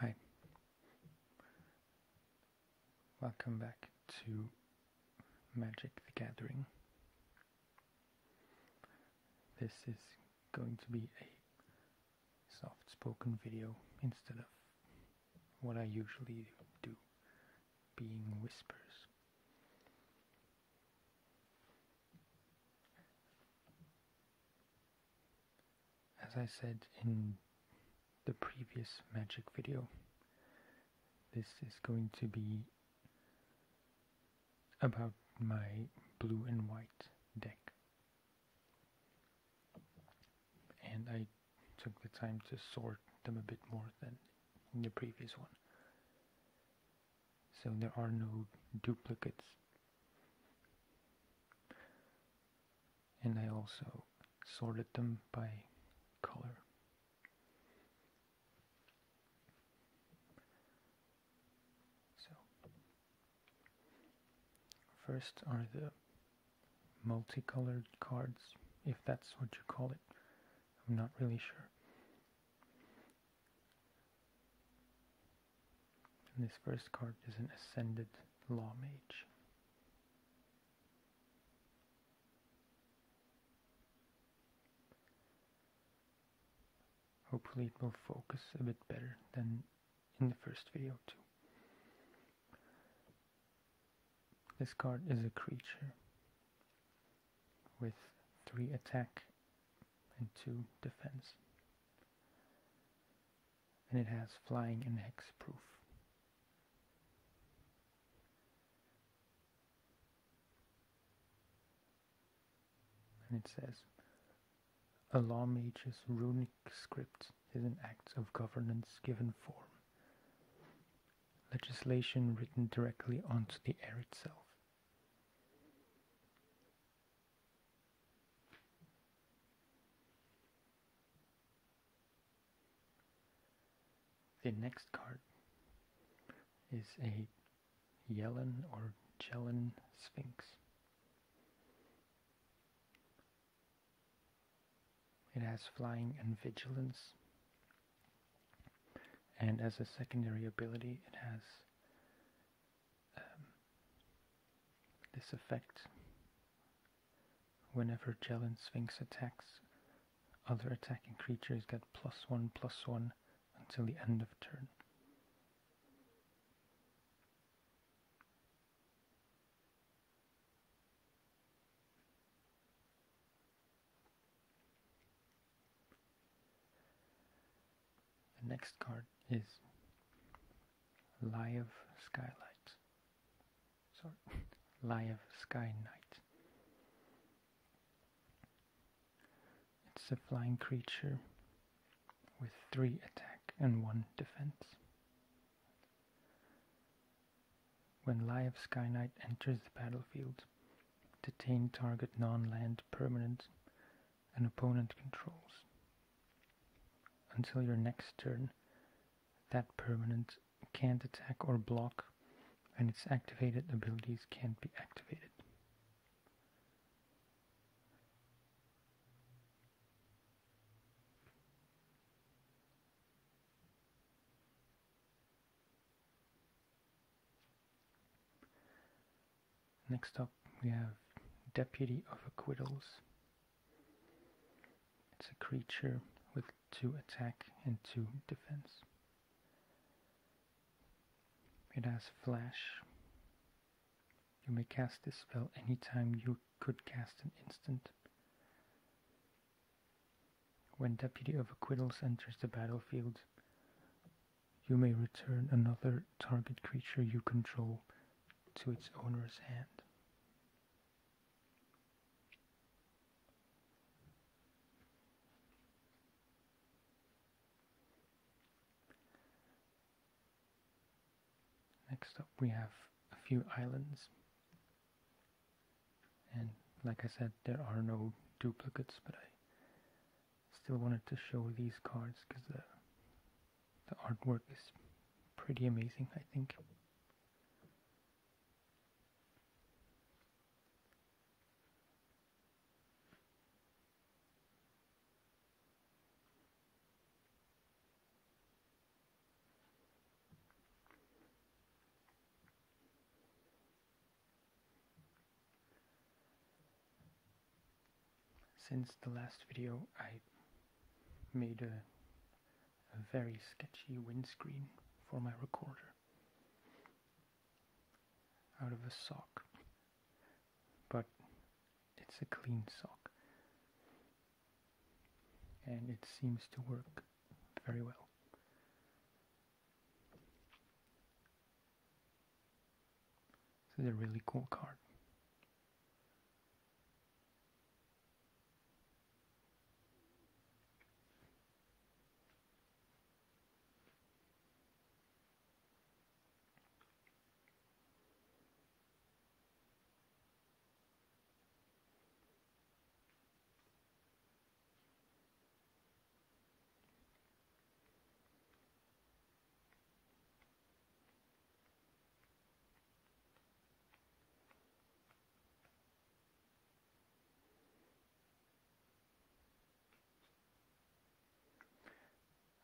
Hi. Welcome back to Magic the Gathering. This is going to be a soft spoken video instead of what I usually do, being whispers. As I said in the previous magic video, this is going to be about my blue and white deck. And I took the time to sort them a bit more than in the previous one so there are no duplicates and I also sorted them by color so first are the multicolored cards if that's what you call it I'm not really sure and this first card is an Ascended Law Mage. Hopefully it will focus a bit better than in the first video too. This card is a creature with 3 attack and to defense. And it has flying and hexproof. And it says, A law mage's runic script is an act of governance given form. Legislation written directly onto the air itself. The next card is a Yellen or Jelen Sphinx. It has flying and vigilance. And as a secondary ability, it has um, this effect whenever Jelen Sphinx attacks, other attacking creatures get plus one plus one until the end of turn. The next card is Lie Skylight. Sorry, Lie Sky Knight. It's a flying creature with three attack and one defense. When Lie Sky Knight enters the battlefield, detain target non-land permanent an opponent controls. Until your next turn, that permanent can't attack or block, and its activated abilities can't be activated. Next up we have Deputy of Acquittals. It's a creature with 2 attack and 2 defense. It has flash. You may cast this spell any time you could cast an instant. When Deputy of Acquittals enters the battlefield, you may return another target creature you control to its owner's hand. Next up we have a few islands. And like I said, there are no duplicates, but I Still wanted to show these cards because the, the artwork is pretty amazing, I think. Since the last video I made a, very sketchy windscreen for my recorder out of a sock, but it's a clean sock and it seems to work very well. This is a really cool card.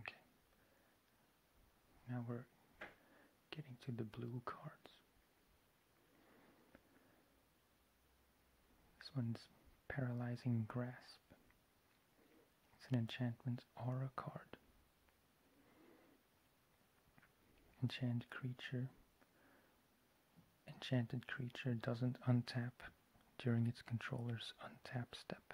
Okay, now we're getting to the blue cards. This one's Paralyzing Grasp. It's an enchantment aura card. Enchanted creature. Enchanted creature doesn't untap during its controller's untap step.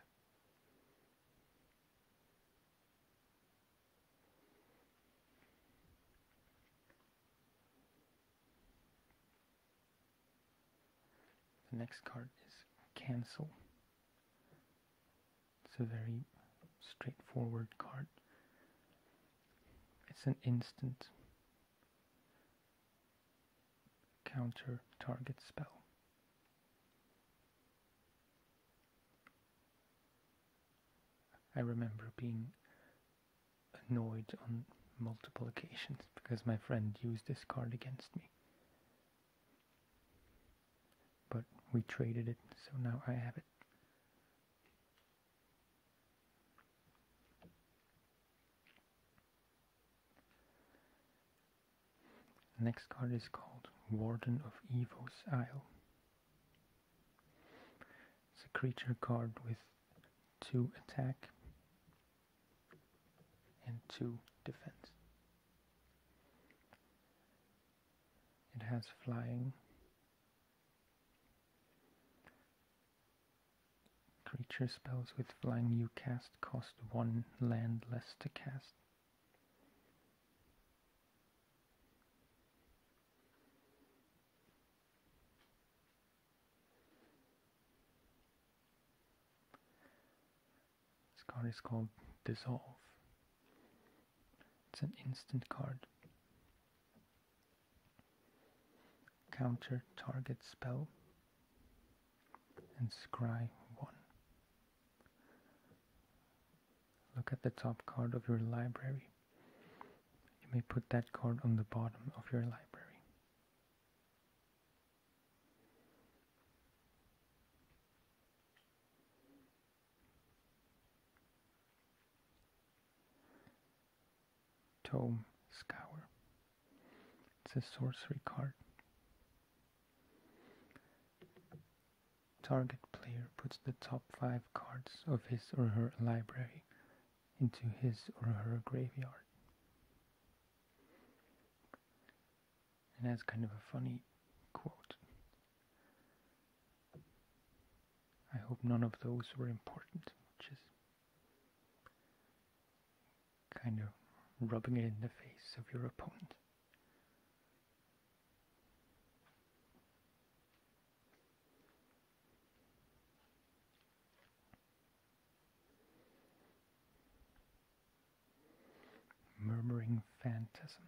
The next card is Cancel. It's a very straightforward card. It's an instant counter target spell. I remember being annoyed on multiple occasions because my friend used this card against me. But we traded it, so now I have it. Next card is called Warden of Evo's Isle. It's a creature card with two attack and two defense. It has flying creature spells with flying you cast cost one land less to cast. This card is called Dissolve. It's an instant card. Counter target spell and scry 1. Look at the top card of your library. You may put that card on the bottom of your library. Tome Scour. It's a sorcery card. Target player puts the top 5 cards of his or her library into his or her graveyard. And that's kind of a funny quote. I hope none of those were important, which kind of rubbing it in the face of your opponent. Murmuring phantasm.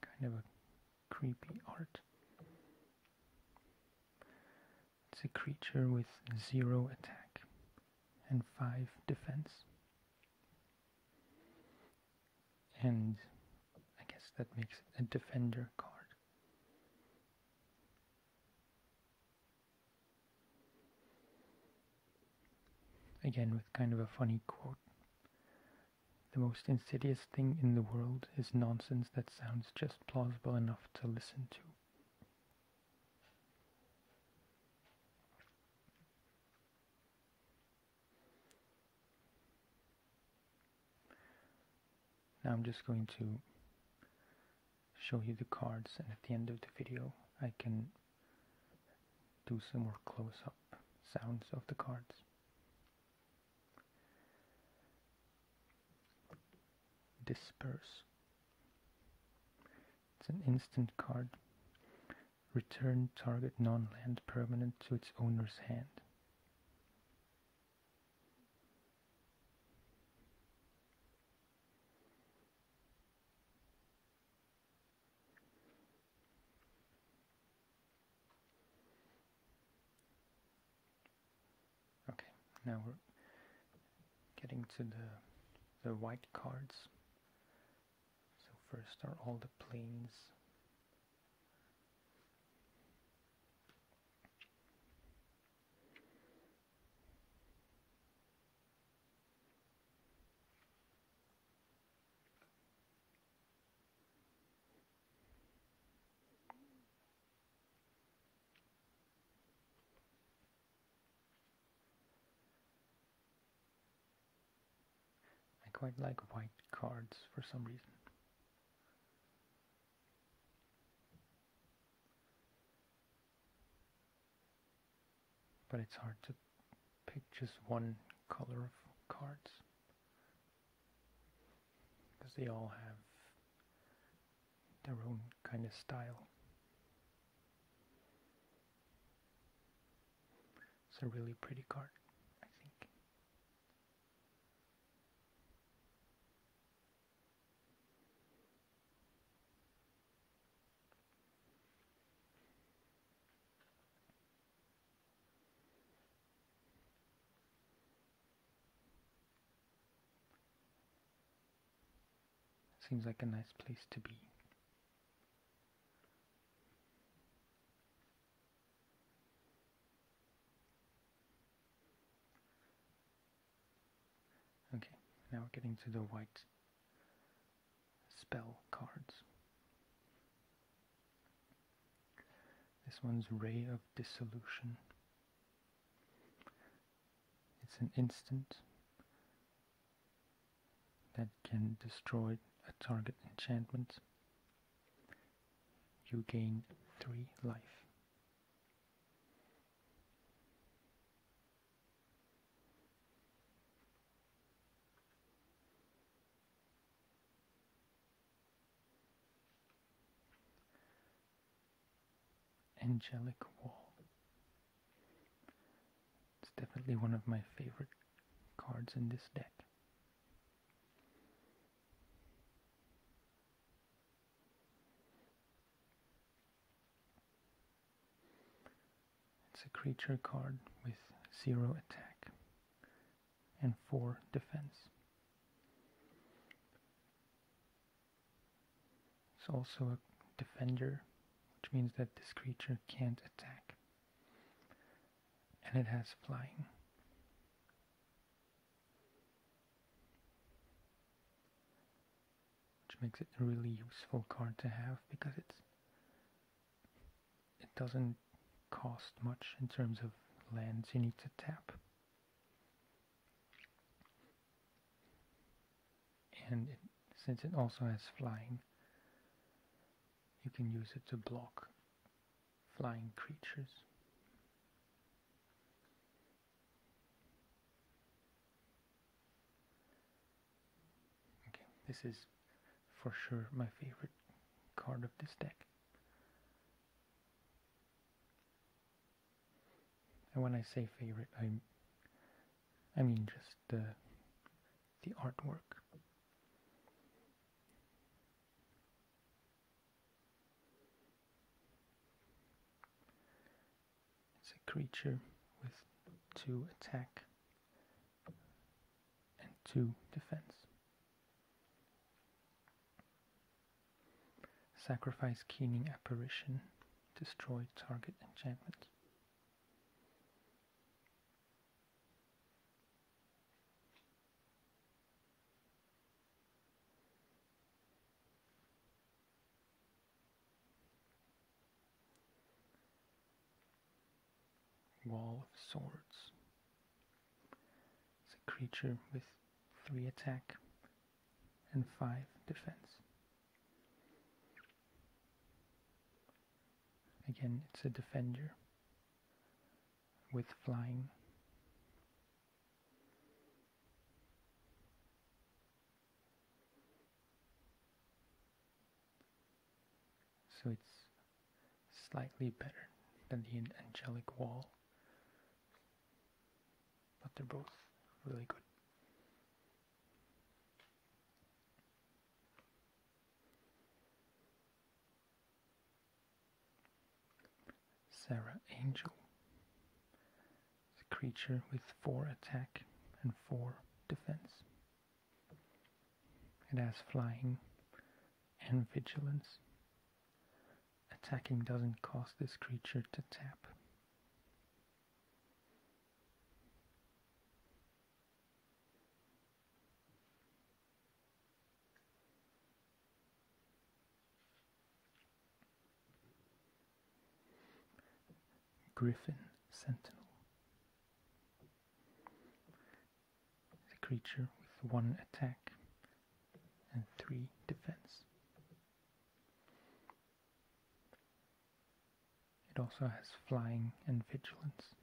Kind of a creepy art. It's a creature with zero attack and five defense. And I guess that makes it a defender card. Again, with kind of a funny quote. The most insidious thing in the world is nonsense that sounds just plausible enough to listen to. Now I'm just going to show you the cards and at the end of the video I can do some more close-up sounds of the cards. Disperse. It's an instant card Return target non-land permanent to its owner's hand. Okay, now we're getting to the the white cards. So first are all the planes. I quite like white cards for some reason. But it's hard to pick just one color of cards. Because they all have their own kind of style. It's a really pretty card, I think. Seems like a nice place to be. Okay, now we're getting to the white spell cards. This one's Ray of Dissolution. It's an instant that can destroy a target enchantment, you gain 3 life. Angelic Wall it's definitely one of my favorite cards in this deck. It's a creature card with zero attack and four defense. It's also a defender which means that this creature can't attack. And it has flying. Which makes it a really useful card to have because it's it doesn't cost much in terms of lands you need to tap and since it also has flying, you can use it to block flying creatures. Okay, this is for sure my favorite card of this deck. And when I say favorite, I, I mean just uh, the artwork. It's a creature with two attack and two defense. Sacrifice Keening Apparition, destroy target enchantment. Wall of Swords. It's a creature with 3 attack and 5 defense. Again, it's a defender with flying. So it's slightly better than the angelic wall. But they're both really good. Sarah Angel, a creature with 4 attack and 4 defense. It has flying and vigilance. Attacking doesn't cause this creature to tap. Griffin Sentinel. It's a creature with one attack and three defense. It also has flying and vigilance.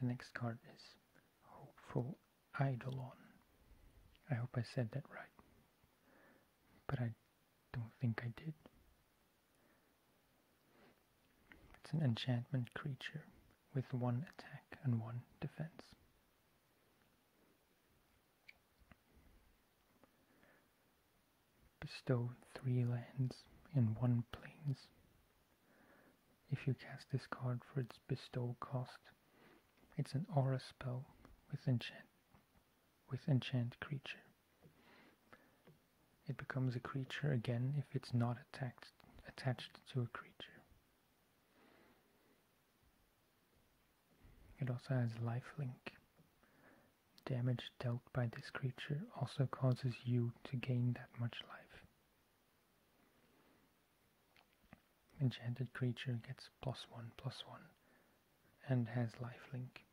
The next card is Hopeful idolon. I hope I said that right, but I don't think I did. It's an enchantment creature with one attack and one defense. Bestow three lands in one plains. If you cast this card for its bestow cost, it's an aura spell with enchant with enchant creature. It becomes a creature again if it's not attached to a creature. It also has life link. Damage dealt by this creature also causes you to gain that much life. Enchanted creature gets plus one plus one and has life link.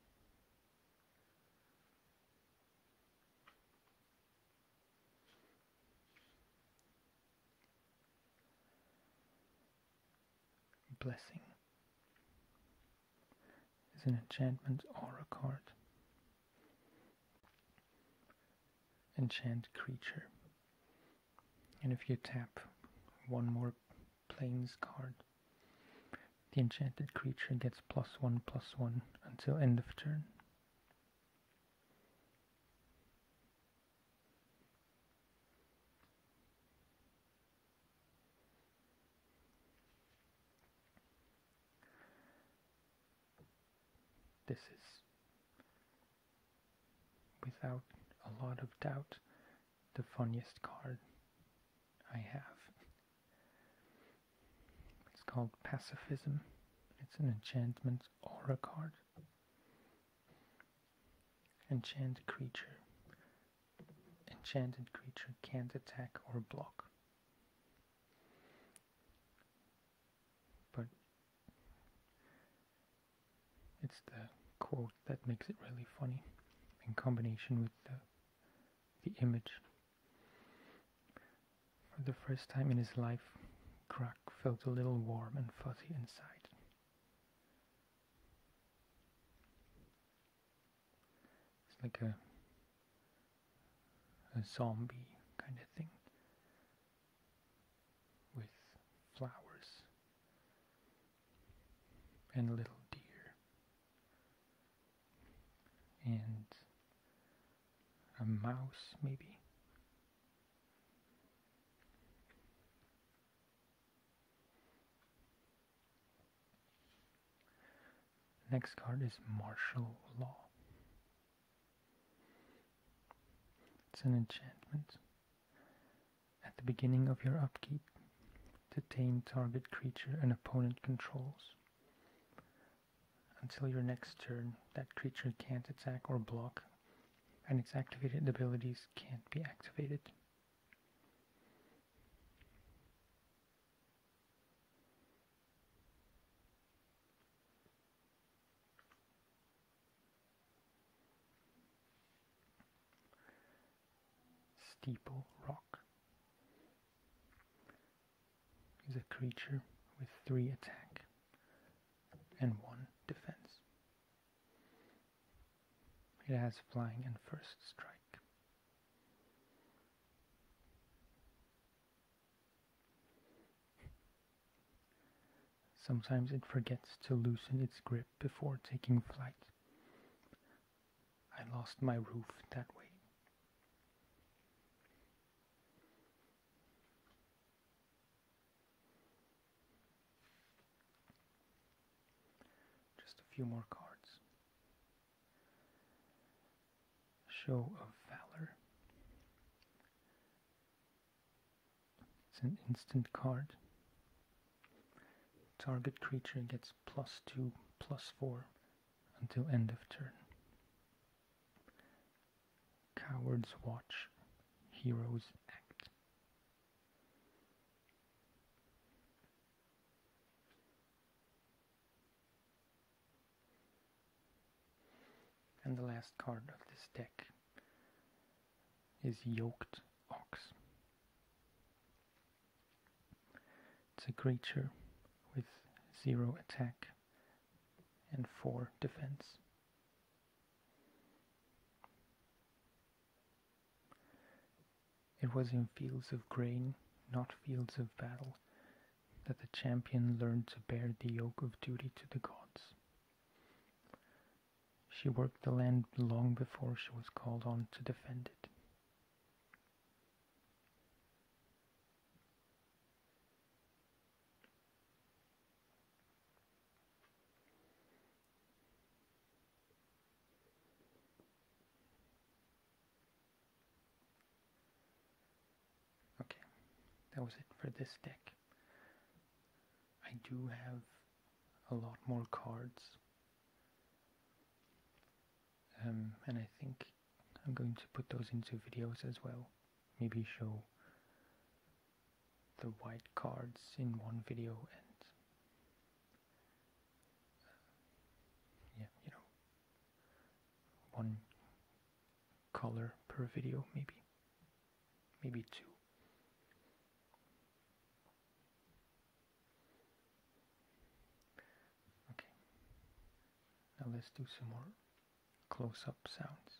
Blessing is an enchantment or a card. Enchant creature. And if you tap one more planes card, the enchanted creature gets plus one plus one until end of turn. This is, without a lot of doubt, the funniest card I have. It's called Pacifism. It's an enchantment aura card. Enchanted creature. Enchanted creature can't attack or block. But it's the quote that makes it really funny in combination with the the image. For the first time in his life, Krak felt a little warm and fuzzy inside. It's like a zombie kind of thing with flowers and a little deer and a mouse maybe next card is martial law it's an enchantment at the beginning of your upkeep to tame target creature an opponent controls. Until your next turn, that creature can't attack or block, and its activated abilities can't be activated. Steeple Rock is a creature with 3 attack and 1 defense. It has flying and first strike. Sometimes it forgets to loosen its grip before taking flight, I lost my roof that way. Just a few more cards. Show of Valor. It's an instant card. Target creature gets plus plus 2 plus 4 until end of turn. Cowards watch, heroes act. And the last card of this deck is Yoked Ox. It's a creature with zero attack and four defense. It was in fields of grain, not fields of battle, that the champion learned to bear the yoke of duty to the gods. She worked the land long before she was called on to defend it. Okay, that was it for this deck. I do have a lot more cards um, and I think I'm going to put those into videos as well. Maybe show the white cards in one video and uh, yeah, you know, one color per video maybe, maybe two. Okay. Now let's do some more close-up sounds.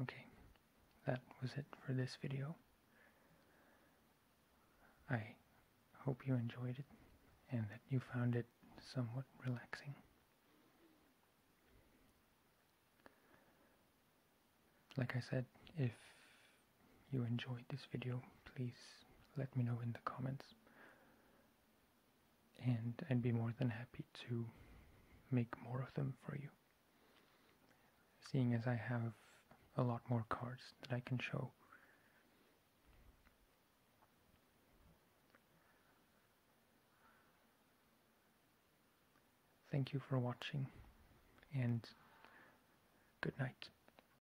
Okay, that was it for this video. I hope you enjoyed it and that you found it somewhat relaxing. Like I said, if you enjoyed this video, please let me know in the comments. And I'd be more than happy to make more of them for you. Seeing as I have a lot more cards that I can show. Thank you for watching and good night.